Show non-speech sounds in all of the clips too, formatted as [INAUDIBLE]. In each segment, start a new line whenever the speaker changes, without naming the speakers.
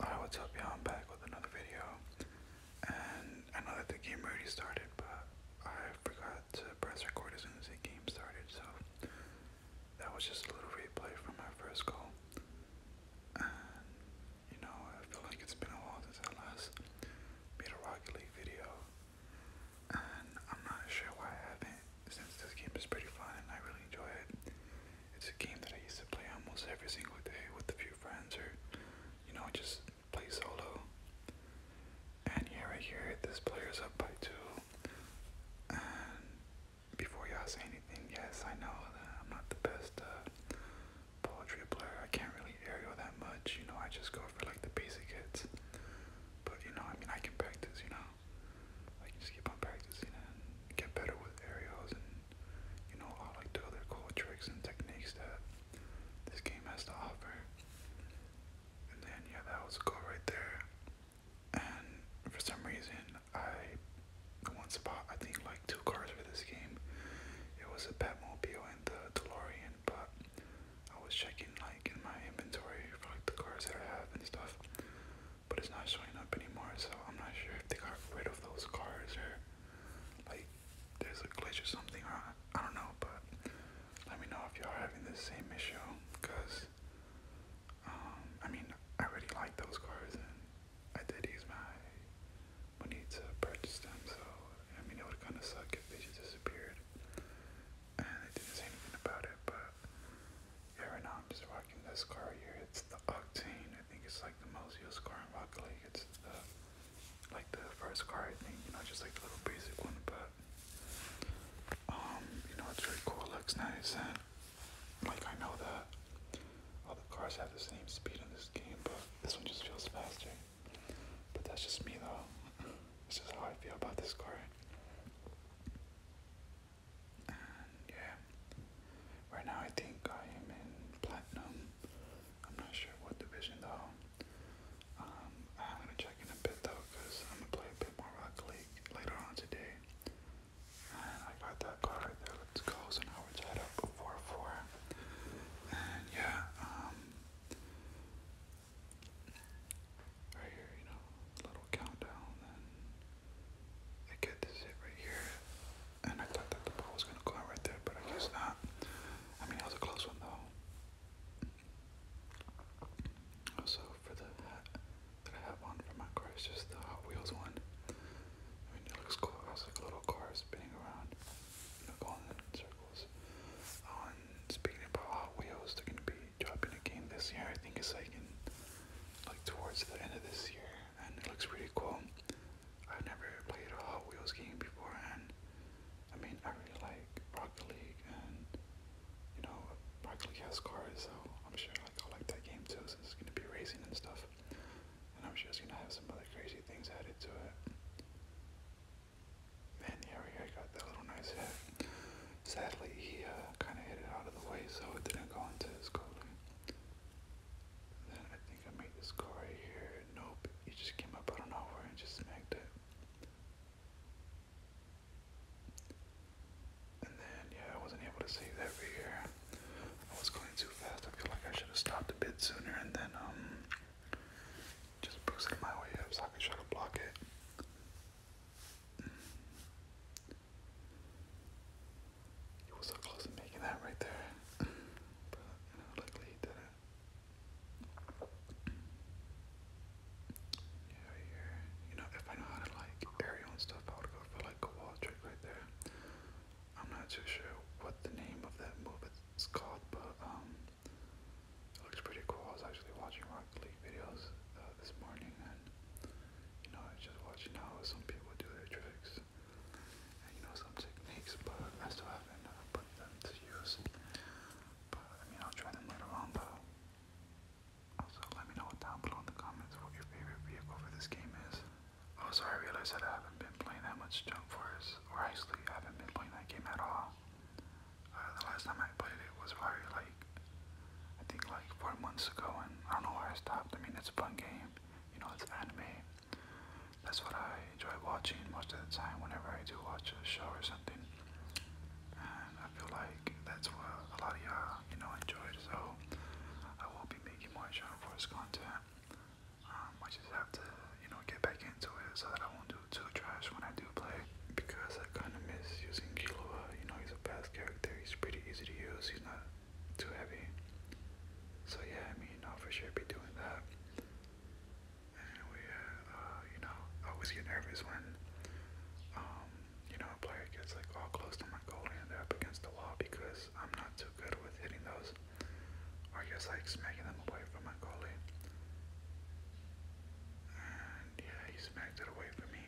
Alright, what's up y'all? I'm back with another video. And I know that the game already started, but I forgot to press record as soon as the game started, so that was just a little replay from my first goal. And you know, I feel like it's been a while since I last made a Rocket League video. And I'm not sure why I haven't, since this game is pretty fun and I really enjoy it. It's a game that I used to play almost every single day with a few friends or, you know, just play solo. And here right here, this player's up by two. And before y'all say anything, yes, I know that I'm not
the best uh, poetry player. I can't really aerial that much. You know, I just go for like the
basic hits. But you know, I mean, I can practice. You know, I can just keep on practicing and get better with aerials and you know, all like the other cool tricks and techniques that this game has to offer. And then yeah, that was a goal right there. And for some reason, I once bought I think like two cars for this game. It was a Batmobile and the DeLorean, but I was checking like in my inventory for like the cars that I have and stuff but it's not showing up anymore. So I'm not sure if they got rid of those cars or like there's a glitch or something. Or I, don't know, but let me know if y'all are having the same issue. Cause um, I mean, I really like those cars and I did use my money to purchase them. So I mean, it would kind of suck if they just disappeared and I didn't say anything about it. But yeah, right now just rocking this car right here. It's the Octane. I think it's like the most used car in Rocket League. It's the like the first car I think, you know, just like the little basic one, but um, you know, it's really cool, it looks nice and like I know that all the cars have the same speed in this game, but this one just feels faster. But that's just me though. [LAUGHS] This is how I feel about this car yeah, right now I think I am in platinum. I'm not sure what division though. Um, I'm gonna check in a bit though, cause I'm gonna play a bit more Rocket later on today. And I got that card there. Let's go. So now we're tied up four four. And yeah, um, right here, you know, little countdown. Then I get this hit right here. And I thought that the ball was gonna go out right there, but I guess not. I mean, it was a close one though. Also, for the that I have on for my car, it's just the Hot Wheels one. I mean, it looks cool. It has like a little car spinning around, going in circles. Oh, speaking about Hot Wheels, they're gonna be dropping a game this year. I think it's like in, like towards the end of this year and it looks pretty cool. I've never played a Hot Wheels game before, and I mean, I really like Rocket League, and you know, Rocket League has cars, so I'm sure like I'll like that game too, since it's gonna be racing and stuff. And I'm sure it's gonna have some other crazy things added to it. Man, yeah, I got that little nice hit. Sadly, he uh, kind of hit it out of the way, so it didn't go into his goalie. And then I think I made this car right here. Nope, it just came up out of nowhere and just smacked it. And then, yeah, I wasn't able to save that right here. I was going too fast. I feel like I should have stopped a bit sooner and then, um, just boosted my way up so I could try to block it. He was so close to making that right there. but luckily he did it. Yeah, right here. You know, if I know how to like aerial stuff, I would go for like a wall trick right there. I'm not too sure what the name of that move is called, but um, it looks pretty cool. I was actually watching Rocket League videos uh, this morning, and you know, I was just watching how some people do their tricks and you know some techniques, but I still haven't uh, put them to use. But I mean, I'll try them later on. But also, let me know down below in the comments what your favorite vehicle for this game is. Also, oh, I realized that I haven't been playing that much Jump Force, or actually, I haven't been playing that game at all. Uh, the last time I played it was probably like, I think like four months ago, and I don't know why I stopped. I mean, it's a fun game, you know, it's anime. That's what I enjoy watching most of the time whenever I do watch a show or something. And I feel like that's what a lot of y'all, you know, enjoyed. So I will be making more Shadow Force content. Um, I just have to, you know, get back into it so that I won't do too trash when I do play. Because I kind of miss using Killua. You know, he's a fast character. He's pretty easy to use. He's not too heavy. So yeah, I mean, I'll for sure be doing that. And we, uh, uh you know, always get nervous when, um, you know, a player gets like all close to my goalie and they're up against the wall because I'm not too good with hitting those, or just like smacking them away from my goalie. And yeah, he smacked it away from me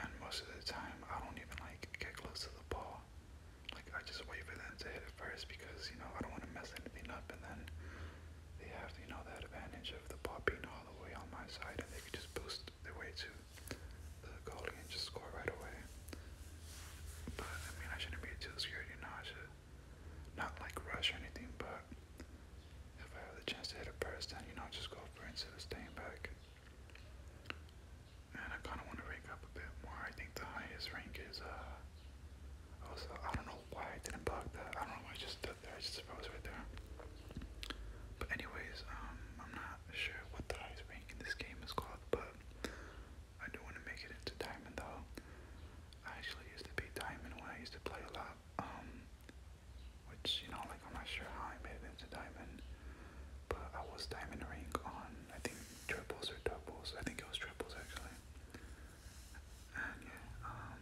and most of the time I don't even like get close to the ball. Like I just wait for them to hit it first because you know I don't want to mess anything up, and then they have you know that advantage of the ball being all the way on my side, and they can just boost their way to the goal and just score right away. But I mean I shouldn't be too scared, you know. I should not like rush or anything, but if I have the chance to hit it first, then you know just go for it instead of staying back. And I kind of want to rank up a bit more. I think the highest rank is, uh, also, oh, I don't know why I didn't block that. I don't know why I just stood there. I just suppose right there. But anyways, um, I'm not sure what the highest rank in this game is called, but I do want to make it into diamond though. I actually used to be diamond when I used to play a lot. Um, which you know, like I'm not sure how I made it into diamond, but I was diamond rank on I think triples or doubles. I think it was triples actually. And yeah, um,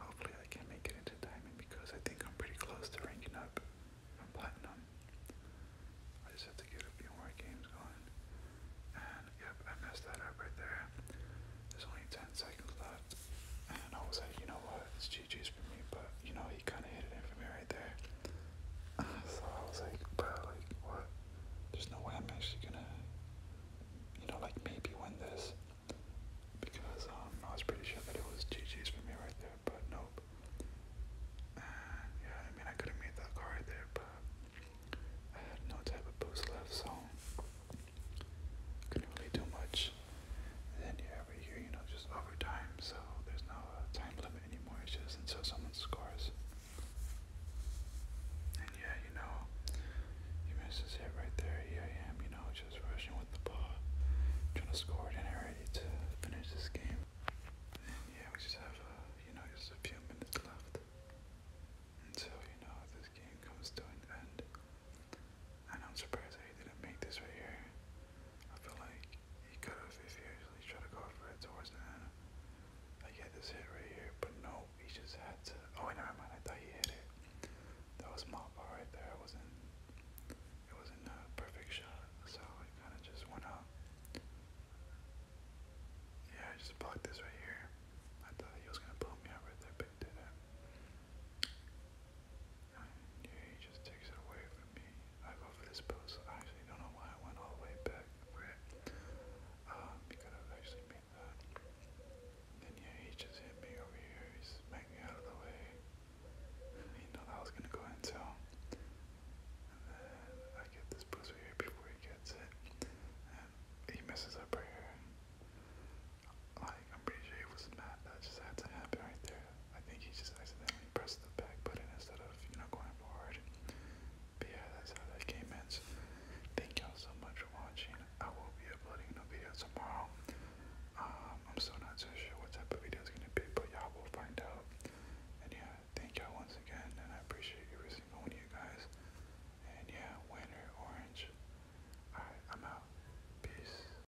hopefully I can make it into diamond because I think I'm pretty close to ranking up from platinum. I just have to get a few more games going. And yep, I messed that up right there. There's only 10 seconds left. And I was like, you know what? It's GG's for me, but you know, he kind of hit it for me right there. [SIGHS] So I was like, bro, like, what? There's no way I'm actually gonna, you know, like maybe win this. Because um, I was pretty sure that it was GG's for me right there, but nope. And yeah, I mean, I could have made that card right there, but I had no type of boost left, so couldn't really do much than you ever hear, you know, just over So there's no uh, time limit anymore. It's just until someone scores. And yeah, you know, he misses it right there. Here I am, you know, just rushing with the ball, trying to score it, and ready to finish this game. And yeah, we just have, uh, you know, just a few minutes left until you know this game comes to an end. I'm surprised that he didn't make this right here. I feel like he could have if he actually tried to go for it towards the end. Like, he had this hit right here, but no, he just had to. Oh, wait, never mind. I thought he hit it. That was a my ball right there. It wasn't. It wasn't a perfect shot, so it kind of just went out. Yeah, I just blocked this right here. I thought he was gonna pull me out right there, but he didn't. Yeah, he just takes it away from me. I go for this post. I actually don't know why I went all the way back for it. Um, have actually made that. Then yeah, he just hit me over here. He smacked me out of the way. He knew that I gonna go into him. then I get this boost here before he gets it. And he messes up right here. Like, I'm pretty sure it was mad that just had to happen right there. I think he just accidentally pressed the back button instead of, you know, going forward. yeah, that's how that game ends. Thank y'all so much for watching. I will be uploading a video tomorrow. Um, I'm still not too sure what type of video it's gonna be, but y'all will find out. And yeah, thank y'all once again, and I appreciate every single one of you guys. And yeah, winter orange. Alright, I'm out. Peace.